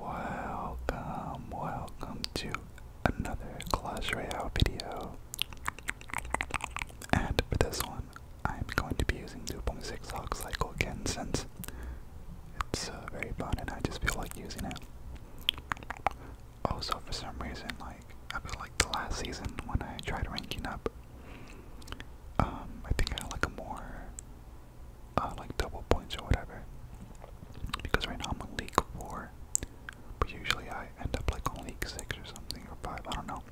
Welcome, welcome to another Clash Royale video. And for this one, I'm going to be using 2.6 Hawk Cycle again since it's uh, very fun and I just feel like using it. Also, for some reason, like, I feel like the last season when I tried ranking up, um, I think I like a more uh, like double points or whatever. Because right now I'm on league four, but usually I end up like on league six or something or five. I don't know.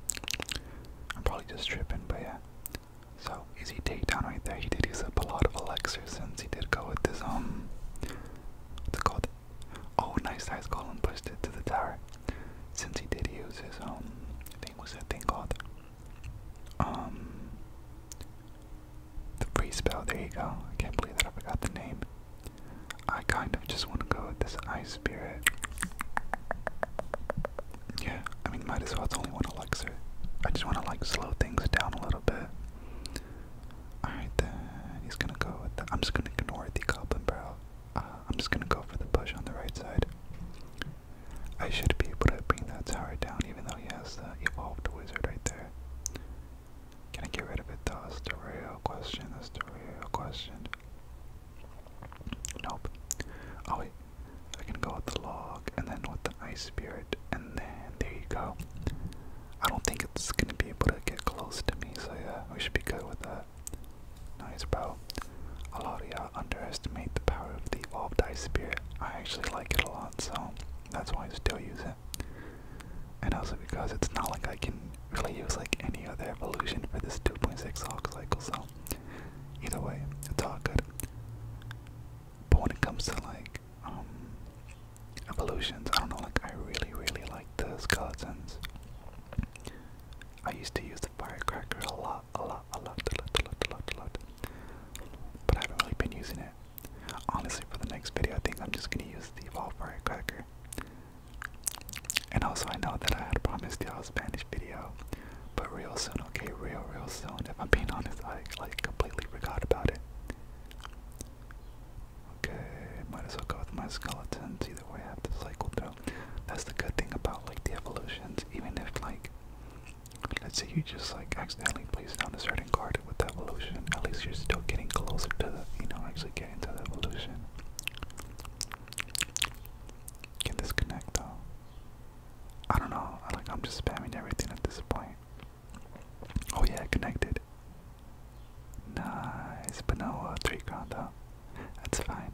I'm probably just tripping, but yeah. So easy takedown right there. He did use up a lot of Elixir since he did go with his um. What's it called? Oh, nice size goal and pushed it to the tower. Since he did use his um, I was that thing called? Um, the free spell, there you go. I can't believe that I forgot the name. I kind of just want to go with this ice spirit. Yeah, I mean, might as well. It's only one elixir. I just want to like slow things down a little bit. Alright, then he's gonna go with I'm just gonna ignore the goblin barrel. Uh, I'm just gonna go for the push on the right side. I should be able to bring that tower down even though he has the evolved wizard right there. Can I get rid of it though? That's the real question. That's the real question. Nope. Oh wait. I can go with the log and then with the ice spirit and then there you go. I don't think it's gonna be able to get close to me, so yeah, we should be good with that. Nice bro. A lot of y'all underestimate the power of the evolved ice spirit. I actually like it a lot, so that's why I still use it. And also because it's not like I can really use like any other evolution for this 2.6 hawk cycle, so either way, it's all good. But when it comes to like um evolutions, I don't know, like I really really like the skeletons. I used to use the firecracker a lot, a lot, a lot, a lot, a lot, a lot, a lot. But I haven't really been using it. Honestly, for the next video, I think I'm just gonna use the evolved firecracker. And also, I know that I had promised y'all a Spanish video, but real soon, okay, real, real soon. If I'm being honest, I like completely forgot about it. Okay, might as well go with my skeletons. Either way, I have to cycle through. That's the good thing about like the evolutions, even if like Let's say you just like accidentally placed down a certain card with the evolution. At least you're still getting closer to the, you know, actually getting to the evolution. Can disconnect though. I don't know. I, like I'm just spamming everything at this point. Oh yeah, connected. Nice, but no uh, three ground up. That's fine.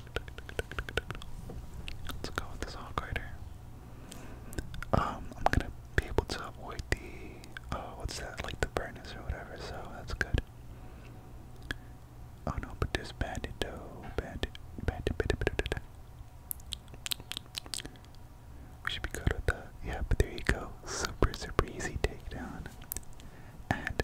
Let's go with this Hawk Rider. Um, I'm gonna be able to avoid the, uh, what's that, like the furnace or whatever, so that's good. Oh no, but there's bandit, Bandit, bandit, bandit, bandit. We should be good with that. Yeah, but there you go. Super, super easy takedown. And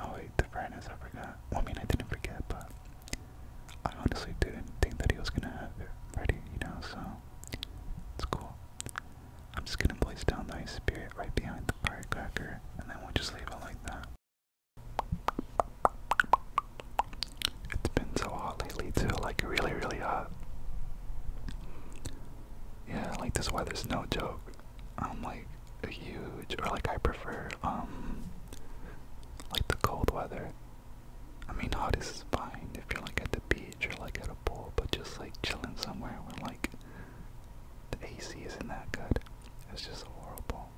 Oh wait, the furnace, I forgot. I mean, I didn't forget, but I honestly didn't think that he was gonna have it ready, you know, so it's cool. I'm just gonna place down the ice spirit right behind the firecracker, and then we'll just leave it like that. It's been so hot lately too, like really, really hot. Yeah, like this weather's no joke. I'm like, huge, or like I prefer, um, like the cold weather. I mean, hot is fine if you're like at the beach or like at a pool, but just like chilling somewhere where like the AC isn't that good, it's just horrible.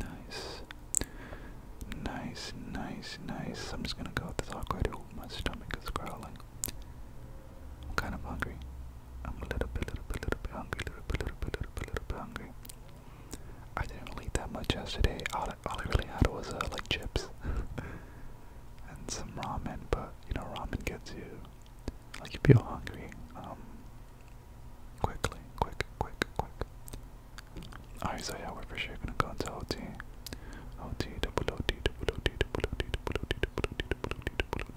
Nice, nice, nice, nice. I'm just gonna go with this awkward. my stomach is growling. I'm kind of hungry. I'm a little bit, little bit, little bit hungry, little bit, little bit, little bit, little bit hungry. I didn't really eat that much yesterday. All, I really had was uh, like chips and some ramen, but you know ramen gets you like you feel hungry um quickly, quick, quick, quick. Alright, so yeah, we're for sure gonna go into OT. OT double OT double OT double OT double OT double OT double OT double OT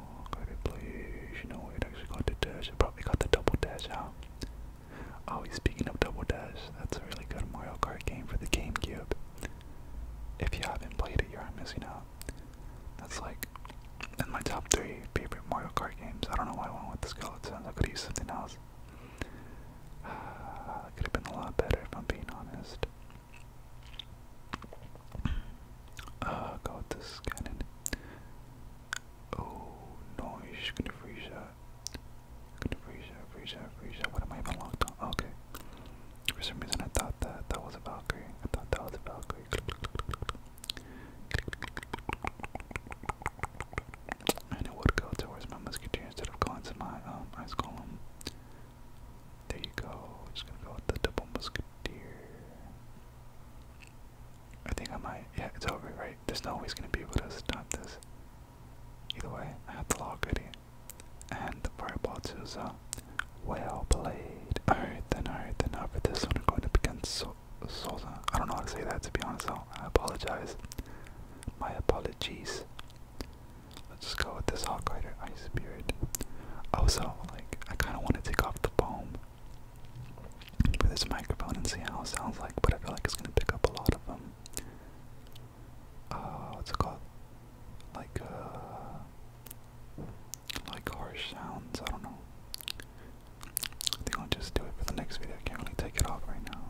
Oh, have to You know, it actually got the dash. It probably got the double dash out. Oh, speaking of double dash, that's a really good Mario Kart game for the GameCube. If you haven't played it, you are missing out. That's like in my top three favorite Mario Kart games. I don't know why I went with the skeletons. I could use something else. could have been a lot better if I'm being honest. Uh, go with this cannon. Oh no, he's just gonna freeze that. Gonna freeze that, freeze that, freeze that. What am I even locked on? Okay. For some reason I thought that that was a Valkyrie. I thought that was a Valkyrie. And it would go towards my musketeer instead of going to my um column. There you go. Just gonna go with the double musketeer. I think I might. Yeah, it's over, right? There's no way he's gonna be able to stop this. Either way, I have the law goodie. And the fireball too, so well played. Alright then, alright then. Now for this one, we're going up against so Solza. I don't know how to say that to be honest, so I apologize. My apologies. Let's just go with this Hawk Rider Ice Spirit. Also, like, I kind of want to take off the foam for this microphone and see how it sounds like, but I feel like it's gonna pick up a lot of them. Uh, what's it called? Like uh, like harsh sounds, I don't know. I think I'll just do it for the next video. can't really take it off right now.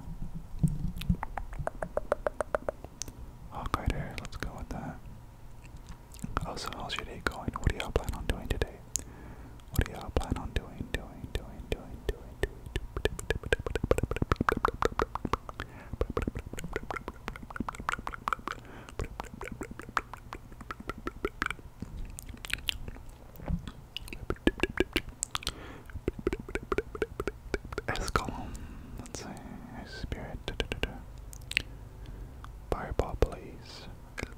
Hawk oh, here, let's go with that. Also, oh, how's your day going? What do y'all plan on doing today? What do y'all plan on doing, doing, doing, doing, doing, doing? Escalon, let's say, spirit. Da, da, da, da. Fireball, please.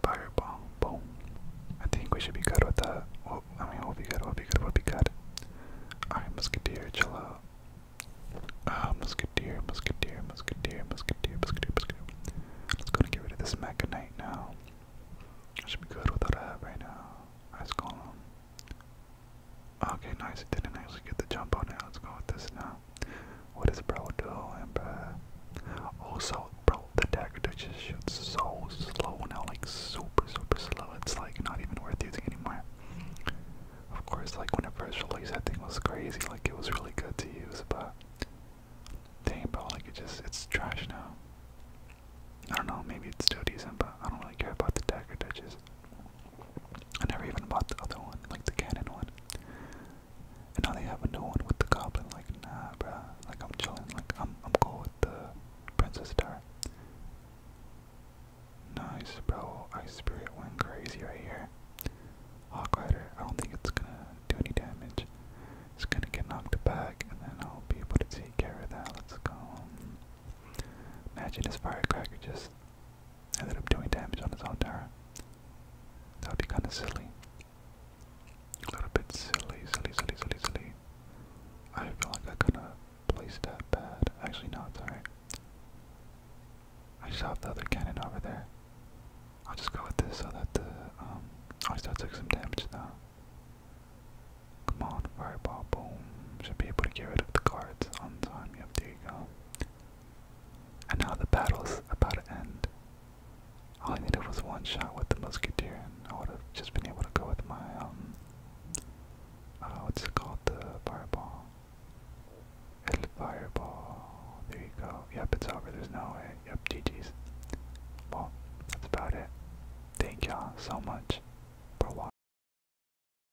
Fireball, boom. I think we should be good with that. Well, I mean, we'll be good, we'll be good, we'll be good. Alright, Musketeer, chill out. Uh, musketeer, musketeer, musketeer, musketeer, musketeer, musketeer. Let's go and get rid of this mechanite now. I should be good without that right now. Ice Golem. Okay, nice. It didn't actually get the jump on it. Let's go with this now. What is bro doing, bro? Also, bro, the dagger just shoots so slow now, like super, super slow. It's like not even worth using anymore. Of course, like when it first released, that thing was crazy. Like it was really good to use, but dang, bro, like it just—it's trash now. I don't know, maybe it's still decent, but I don't really care about the dagger ditches. I never even bought the other one, like the Canon one. And now they have a new one with the goblin. Like, nah, bruh. Like, I'm chilling. Like, I'm I'm cool with the Princess Star. Nice, bro. Ice Spirit went crazy right here. Hawk Rider. I don't think it's gonna do any damage. It's gonna get knocked back, and then I'll be able to take care of that. Let's go. Imagine this firecracker just ended up doing damage on his Altara. That would be kind of silly. A little bit silly, silly, silly, silly, silly. I feel like I kind of placed that bad. Actually, no, it's alright. I just the other cannon over there. I'll just go with this so that the, um, oh, I still took some damage though. Come on, fireball, boom. Should be able to get rid of the cards on time. Yep, there you go. And now the battle's about to end. All I needed was one shot with the musketeer, and I would have just been able to go with my, um, Oh, uh, it's called? The fireball. El fireball. There you go. Yep, it's over. There's no way. Yep, GG's. Well, that's about it. Thank y'all so much for watching.